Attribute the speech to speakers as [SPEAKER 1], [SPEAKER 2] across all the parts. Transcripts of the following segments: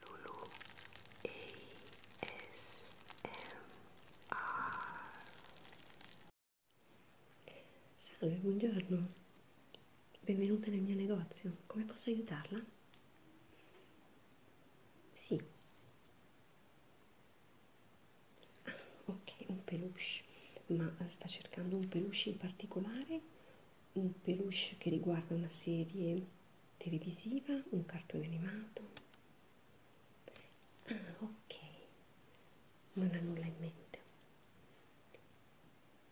[SPEAKER 1] Lulu ASMR Salve, buongiorno. Benvenuta nel mio negozio. Come posso aiutarla? Sì. Ah, ok, un peluche. Ma sta cercando un peluche in particolare un peluche che riguarda una serie televisiva, un cartone animato. Ah, ok, non ha nulla in mente.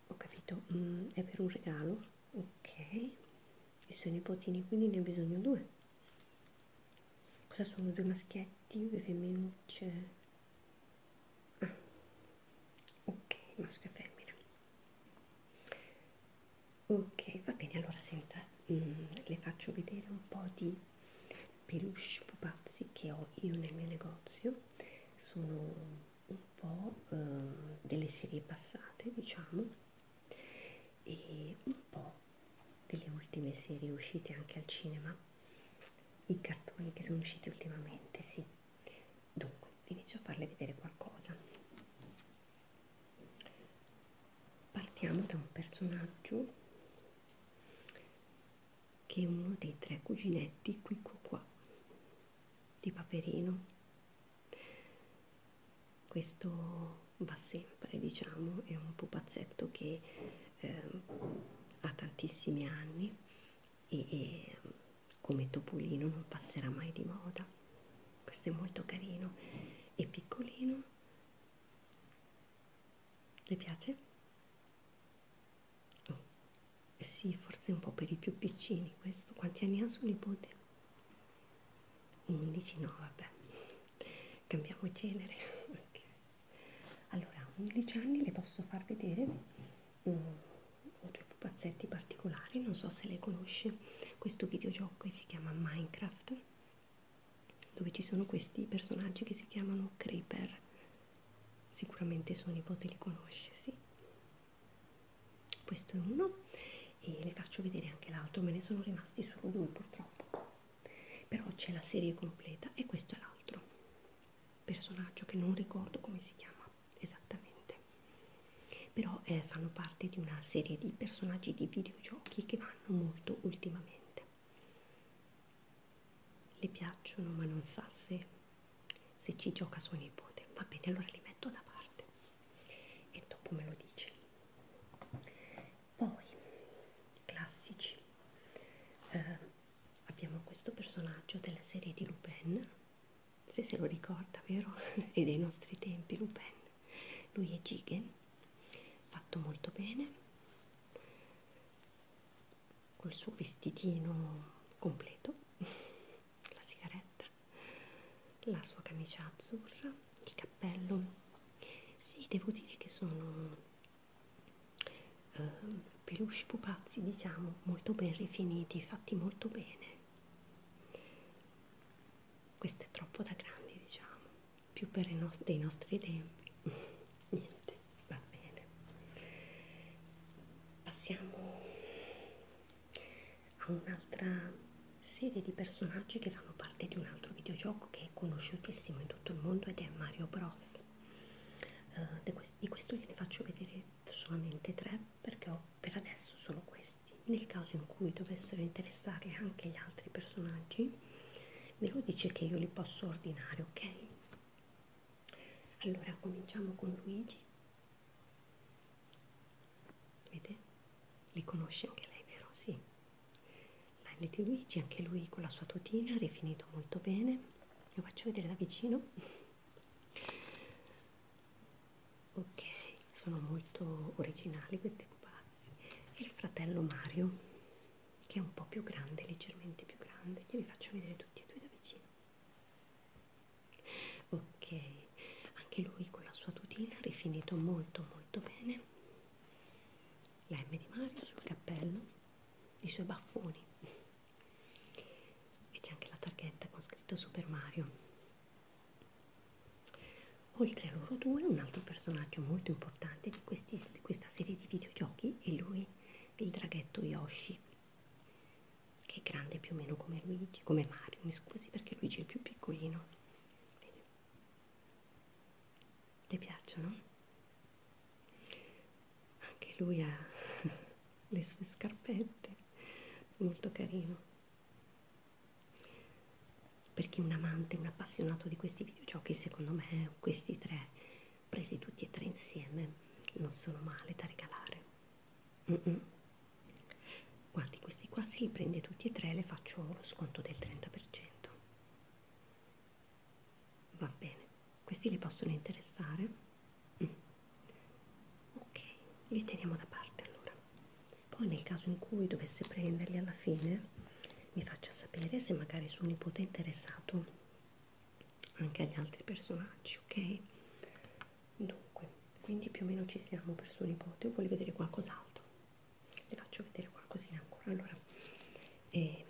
[SPEAKER 1] Ho capito, mm, è per un regalo? Ok, i suoi nipotini quindi ne ho bisogno due. Cosa sono? Due maschietti, due femminucce? Ah, ok, maschio e femmina ok va bene allora senta mm, le faccio vedere un po di peluche pupazzi che ho io nel mio negozio sono un po eh, delle serie passate diciamo e un po delle ultime serie uscite anche al cinema i cartoni che sono usciti ultimamente sì dunque inizio a farle vedere qualcosa partiamo da un personaggio che è uno dei tre cuginetti qui qua, qua di Paperino questo va sempre diciamo è un pupazzetto che eh, ha tantissimi anni e, e come topolino non passerà mai di moda questo è molto carino e piccolino le piace? Oh, eh sì forse un po' per i più piccini questo quanti anni ha suo nipote? 11 no vabbè cambiamo genere okay. allora a 11 anni le posso far vedere mm, ho due pupazzetti particolari, non so se le conosci. Questo videogioco si chiama Minecraft, dove ci sono questi personaggi che si chiamano Creeper. Sicuramente suo nipote li conosce, sì. Questo è uno e le faccio vedere anche l'altro, me ne sono rimasti solo due purtroppo. Però c'è la serie completa e questo è l'altro personaggio che non ricordo come si chiama esattamente però eh, fanno parte di una serie di personaggi di videogiochi che vanno molto ultimamente le piacciono ma non sa se, se ci gioca suo nipote va bene allora li metto da parte e dopo me lo dice poi classici eh, abbiamo questo personaggio della serie di Lupin se se lo ricorda, vero? e dei nostri tempi, Lupin. Lui è Gigen, fatto molto bene, col suo vestitino completo, la sigaretta, la sua camicia azzurra, il cappello. Sì, devo dire che sono eh, peluche pupazzi, diciamo, molto ben rifiniti, fatti molto bene questo è troppo da grandi diciamo più per i nostri, dei nostri tempi niente va bene passiamo a un'altra serie di personaggi che fanno parte di un altro videogioco che è conosciutissimo in tutto il mondo ed è Mario Bros uh, di questo gliene faccio vedere solamente tre perché ho per adesso solo questi nel caso in cui dovessero interessare anche gli altri personaggi me lo dice che io li posso ordinare ok allora cominciamo con Luigi vede li conosce anche lei vero sì Lionel di Luigi anche lui con la sua tutina rifinito molto bene lo faccio vedere da vicino Ok, sono molto originali questi pupazzi. E il fratello Mario, che è un po' più grande, leggermente più grande, glieli faccio vedere tutti e due da vicino. Ok, anche lui con la sua tutina ha rifinito molto molto bene la M di Mario sul cappello, i suoi baffoni e c'è anche la targhetta con scritto Super Mario Oltre a loro due, un altro personaggio molto importante di, questi, di questa serie di videogiochi è lui, il draghetto Yoshi, che è grande più o meno come Luigi, come Mario, mi scusi perché Luigi è più piccolino. Vedi? Ti piacciono? Anche lui ha le sue scarpette, molto carino perché un amante, un appassionato di questi videogiochi, secondo me questi tre presi tutti e tre insieme non sono male da regalare. Mm -mm. Guardi, questi qua se li prende tutti e tre le faccio lo sconto del 30%. Va bene, questi li possono interessare? Mm. Ok, li teniamo da parte allora. Poi nel caso in cui dovesse prenderli alla fine mi faccia sapere se magari suo nipote è interessato anche agli altri personaggi, ok? Dunque, quindi più o meno ci siamo per suo nipote o vuole vedere qualcos'altro? Le faccio vedere qualcosina ancora. Allora, eh,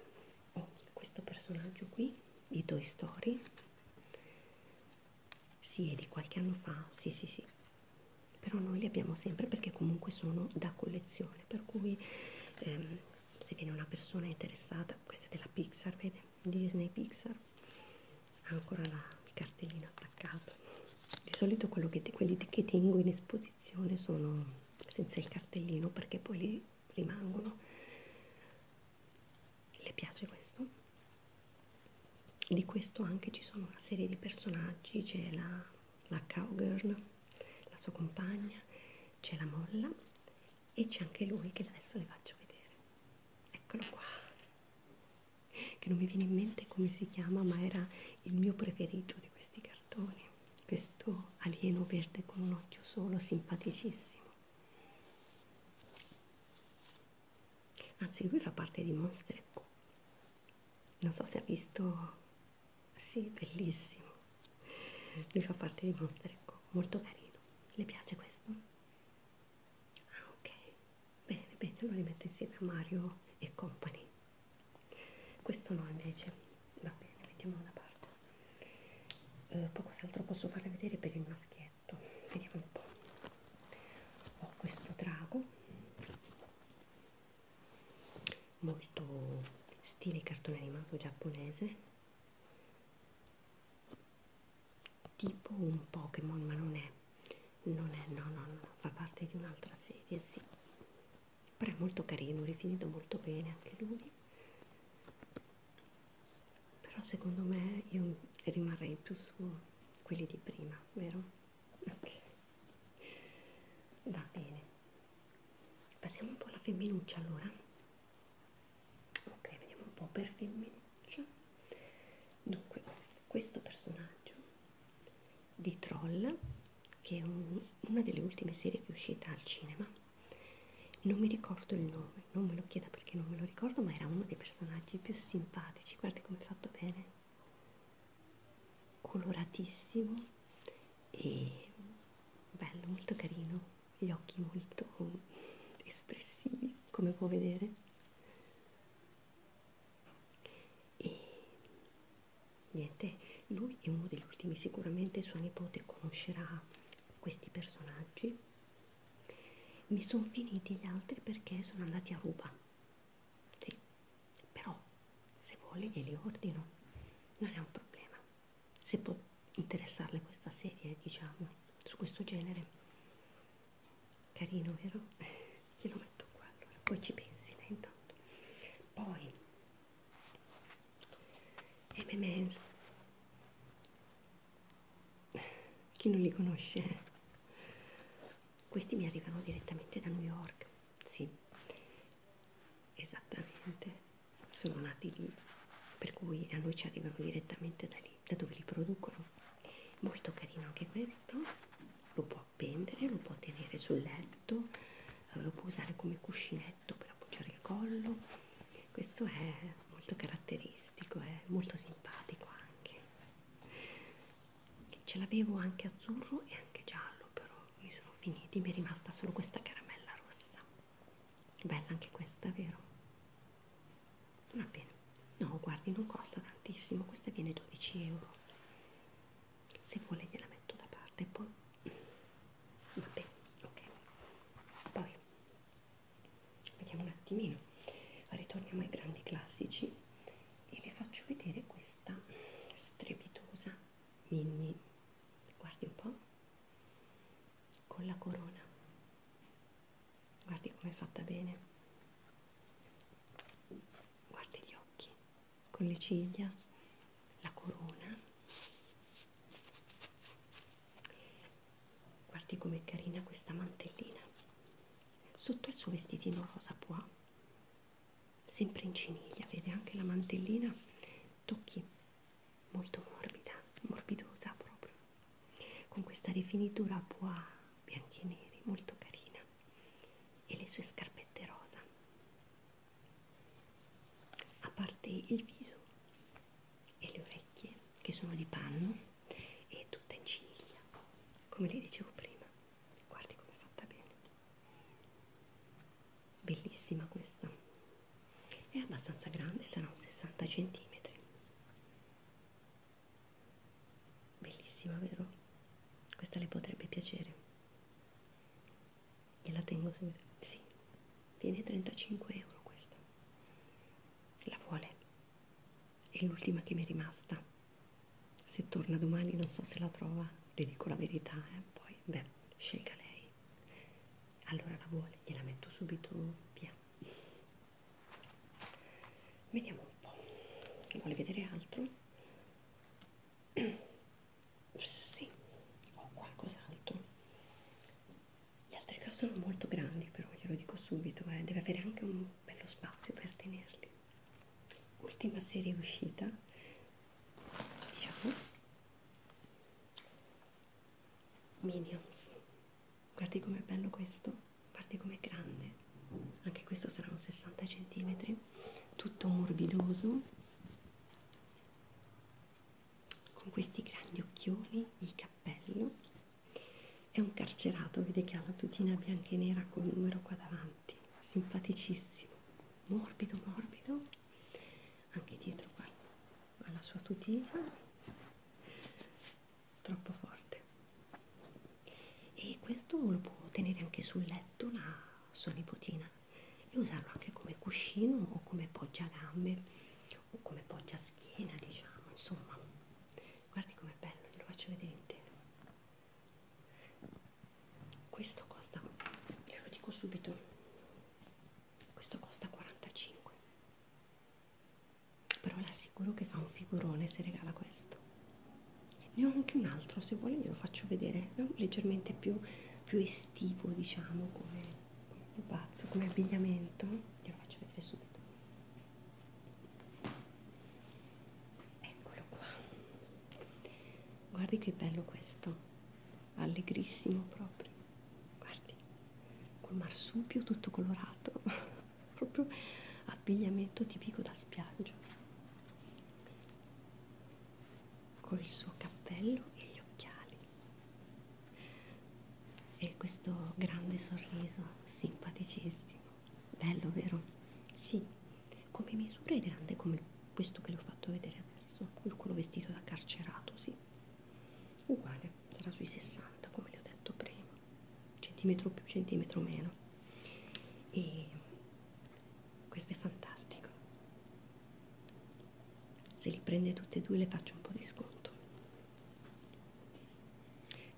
[SPEAKER 1] ho oh, questo personaggio qui di Toy Story sì è di qualche anno fa sì sì sì però noi li abbiamo sempre perché comunque sono da collezione per cui ehm, se viene una persona interessata questa è della Pixar vede Disney Pixar ha ancora la, il cartellino attaccato di solito quello che te, quelli che tengo in esposizione sono senza il cartellino perché poi li rimangono le piace questo di questo anche ci sono una serie di personaggi c'è la, la cowgirl la sua compagna c'è la molla e c'è anche lui che adesso le faccio vedere eccolo qua che non mi viene in mente come si chiama ma era il mio preferito di questi cartoni questo alieno verde con un occhio solo simpaticissimo anzi lui fa parte di Monster ecco. non so se ha visto sì bellissimo lui fa parte di Monster ecco. molto carino le piace questo? ah ok bene bene lo rimetto insieme a Mario e Company questo no invece va bene mettiamolo da parte eh, poi cos'altro posso farle vedere per il maschietto letto vediamo un po' ho questo drago molto stile cartone animato giapponese tipo un Pokémon ma non è non è no no no fa parte di un'altra serie sì però è molto carino rifinito molto bene anche lui però secondo me io rimarrei più su quelli di prima vero ok va bene passiamo un po' alla femminuccia allora ok vediamo un po' per femminuccia dunque ho questo personaggio di troll che è un, una delle ultime serie che è uscita al cinema non mi ricordo il nome non me lo chieda perché non me lo ricordo ma era uno dei personaggi più simpatici guarda come è fatto bene coloratissimo e bello, molto carino, gli occhi molto espressivi come può vedere e niente, lui è uno degli ultimi, sicuramente sua nipote conoscerà questi personaggi mi sono finiti gli altri perché sono andati a ruba sì, però se vuole glieli ordino, non è un problema. Se può interessarle questa serie, diciamo, su questo genere, carino, vero? Glielo metto qua, allora poi ci pensi lei intanto. Poi, M&M's, chi non li conosce? Questi mi arrivano direttamente da New York, sì, esattamente, sono nati lì, per cui a noi ci arrivano direttamente da lì, da dove li producono. Molto carino anche questo, lo può appendere, lo può tenere sul letto, eh, lo può usare come cuscinetto per appoggiare il collo, questo è molto caratteristico, è molto simpatico anche ce l'avevo anche azzurro e anche giallo però mi sono finiti mi è rimasta solo questa caramella rossa bella anche questa vero va bene no guardi non costa tantissimo questa viene 12 euro se vuole gliela metto da parte poi va bene ok poi vediamo un attimino ritorniamo ai grandi classici e vi faccio vedere questa strepitosa mini guardi un po' con la corona guardi come è fatta bene guardi gli occhi con le ciglia la corona guardi com'è carina questa mantellina sotto il suo vestitino rosa pois sempre in ciniglia vede anche la mantellina tocchi molto morbida morbidosa proprio con questa rifinitura a pois bianchi e neri molto carina e le sue scarpette rosa a parte il viso e le orecchie che sono di panno e tutta in ciniglia, come vi dicevo prima. Guardi come è fatta bene. Bellissima questa. È abbastanza grande, sarà un 60 cm. Bellissima, vero? Questa le potrebbe piacere. Gliela tengo subito. Sì, viene 35 euro questa. La vuole? è l'ultima che mi è rimasta. Se torna domani non so se la trova, le dico la verità, eh? poi beh, scelga lei. Allora la vuole, gliela metto subito via. Vediamo un po'. Vuole vedere altro? sì, ho qualcos'altro. Gli altri cose sono molto grandi, però glielo dico subito, eh. deve avere anche un bello spazio per tenerli ultima serie uscita diciamo Minions guardi com'è bello questo guardi com'è grande anche questo saranno 60 cm tutto morbidoso con questi grandi occhioni il cappello è un carcerato, vede che ha la tutina bianca e nera col numero qua davanti, simpaticissimo, morbido, morbido, anche dietro qua ha la sua tutina, troppo forte. E questo lo può tenere anche sul letto la sua nipotina e usarlo anche come cuscino o come poggiagambe o come poggia schiena, diciamo, insomma. Guardi com'è bello, lo faccio vedere intero questo costa glielo dico subito questo costa 45 però le assicuro che fa un figurone se regala questo ne ho anche un altro se vuole glielo faccio vedere è leggermente più, più estivo diciamo come pazzo come abbigliamento glielo faccio vedere subito eccolo qua guardi che bello questo allegrissimo proprio guardi col marsupio tutto colorato proprio abbigliamento tipico da spiaggia col suo cappello e gli occhiali e questo grande sorriso simpaticissimo bello vero? sì come misura è grande come questo che l'ho fatto vedere adesso quello vestito da carcerato sì uguale sarà sui 60 come le ho detto prima centimetro più centimetro meno e questo è fantastico se li prende tutte e due le faccio un po' di sconto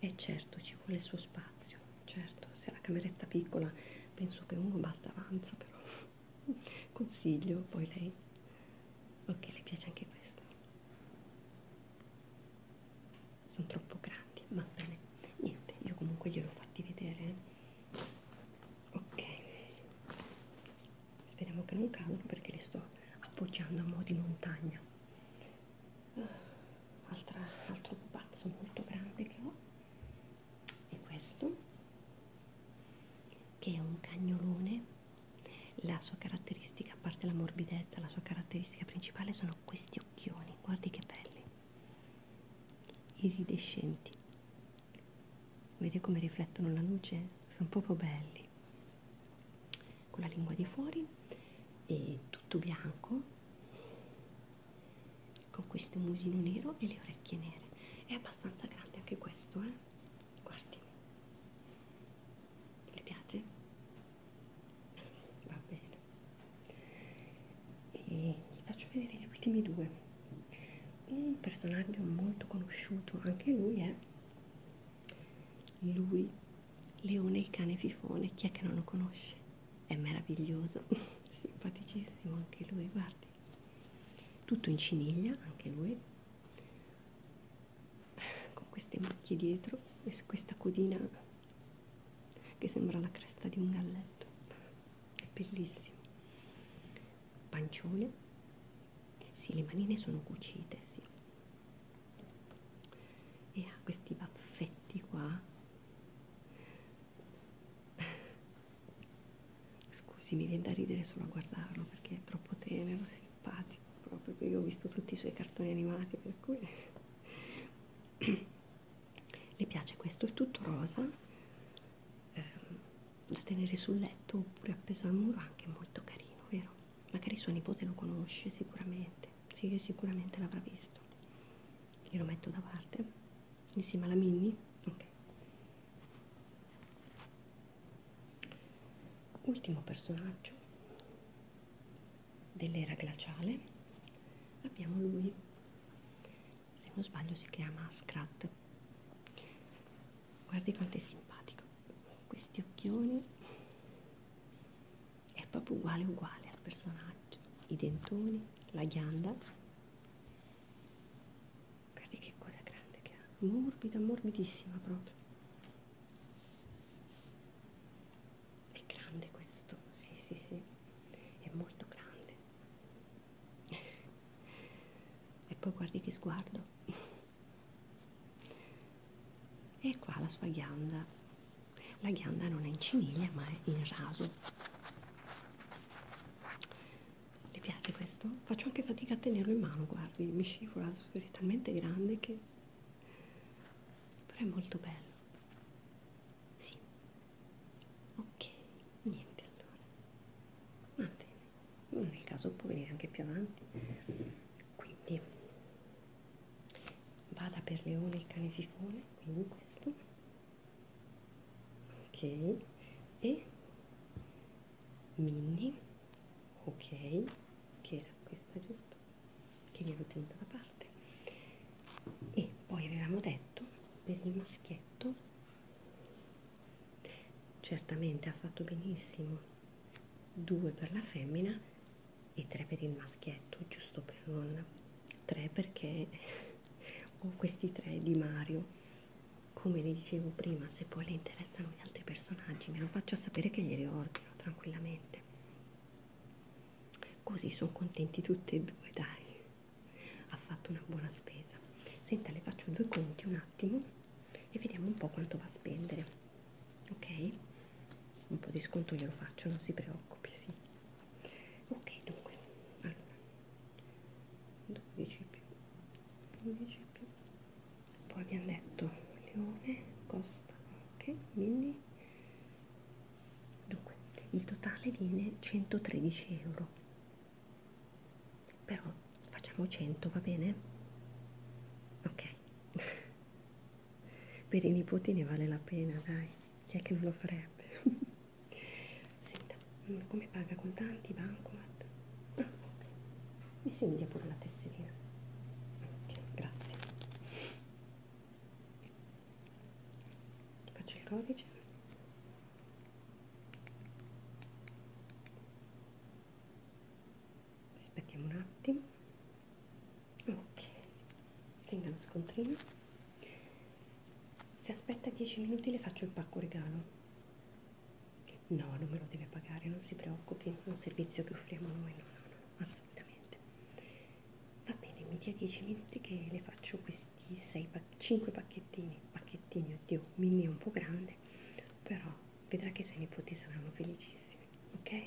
[SPEAKER 1] e certo ci vuole il suo spazio, certo, se la cameretta piccola penso che uno basta avanza però consiglio poi lei ok le piace anche questo sono troppo grandi va bene niente io comunque glielo ho fatti vedere eh. ok speriamo che non cadano perché li sto appoggiando a mo' di montagna eh, altra, altro pupazzo molto grande che ho è questo che è un cagnolone la sua caratteristica a parte la morbidezza la sua caratteristica principale sono questi occhioni guardi che belli iridescenti vede come riflettono la luce sono proprio belli con la lingua di fuori e tutto bianco con questo musino nero e le orecchie nere è abbastanza grande anche questo eh guardi le piace va bene e vi faccio vedere gli ultimi due un personaggio molto conosciuto anche lui è eh? lui Leone il cane fifone, chi è che non lo conosce? È meraviglioso, simpaticissimo anche lui, guardi. Tutto in ciniglia, anche lui, con queste macchie dietro e questa codina che sembra la cresta di un galletto. È bellissimo. Pancione, sì, le manine sono cucite, sì. E ha questi baffetti qua Scusi, mi viene da ridere solo a guardarlo perché è troppo tenero, simpatico, proprio che io ho visto tutti i suoi cartoni animati, per cui le piace questo, è tutto rosa, eh, da tenere sul letto oppure appeso al muro, anche molto carino, vero? Magari suo nipote lo conosce sicuramente sì, sicuramente l'avrà visto. Glielo metto da parte insieme alla Minnie. Ok. Ultimo personaggio dell'era glaciale abbiamo lui. Se non sbaglio si chiama Scrat. Guardi quanto è simpatico. Questi occhioni è proprio uguale uguale al personaggio i dentoni la ghianda guarda che cosa grande che ha morbida morbidissima proprio è grande questo sì sì sì è molto grande e poi guardi che sguardo e qua la sua ghianda la ghianda non è in ciniglia ma è in raso le piace questo? faccio anche fatica a tenerlo in mano guardi mi scivola è talmente grande che però è molto bello sì ok niente allora va bene nel caso può venire anche più avanti quindi vada per leone il cane fifone quindi questo ok e mini ok che era questa giusto che li avevo tenuta da parte e poi avevamo detto per il maschietto certamente ha fatto benissimo due per la femmina e 3 per il maschietto giusto per non 3 perché ho questi 3 di Mario come le dicevo prima se poi le interessano gli altri personaggi me lo faccia sapere che glieli ordino tranquillamente così sono contenti tutti e due dai ha fatto una buona spesa senta le faccio due conti un attimo e vediamo un po' quanto va a spendere ok un po' di sconto glielo faccio non si preoccupi sì ok dunque allora 12 più 12 più poi abbiamo detto leone costa ok quindi dunque il totale viene 113 euro però facciamo 100 va bene ok per i nipoti ne vale la pena dai chi è che non lo farebbe senta come paga contanti bancomat ah ok e se mi dia pure la tesserina ok grazie Ti faccio il codice aspettiamo un attimo ok tenga lo scontrino se aspetta 10 minuti le faccio il pacco regalo no non me lo deve pagare non si preoccupi è un servizio che offriamo noi no no no assolutamente va bene mi dia 10 minuti che le faccio questi 6 pac 5 pacchettini pacchettini oddio mini è un po' grande però vedrà che i suoi nipoti saranno felicissimi ok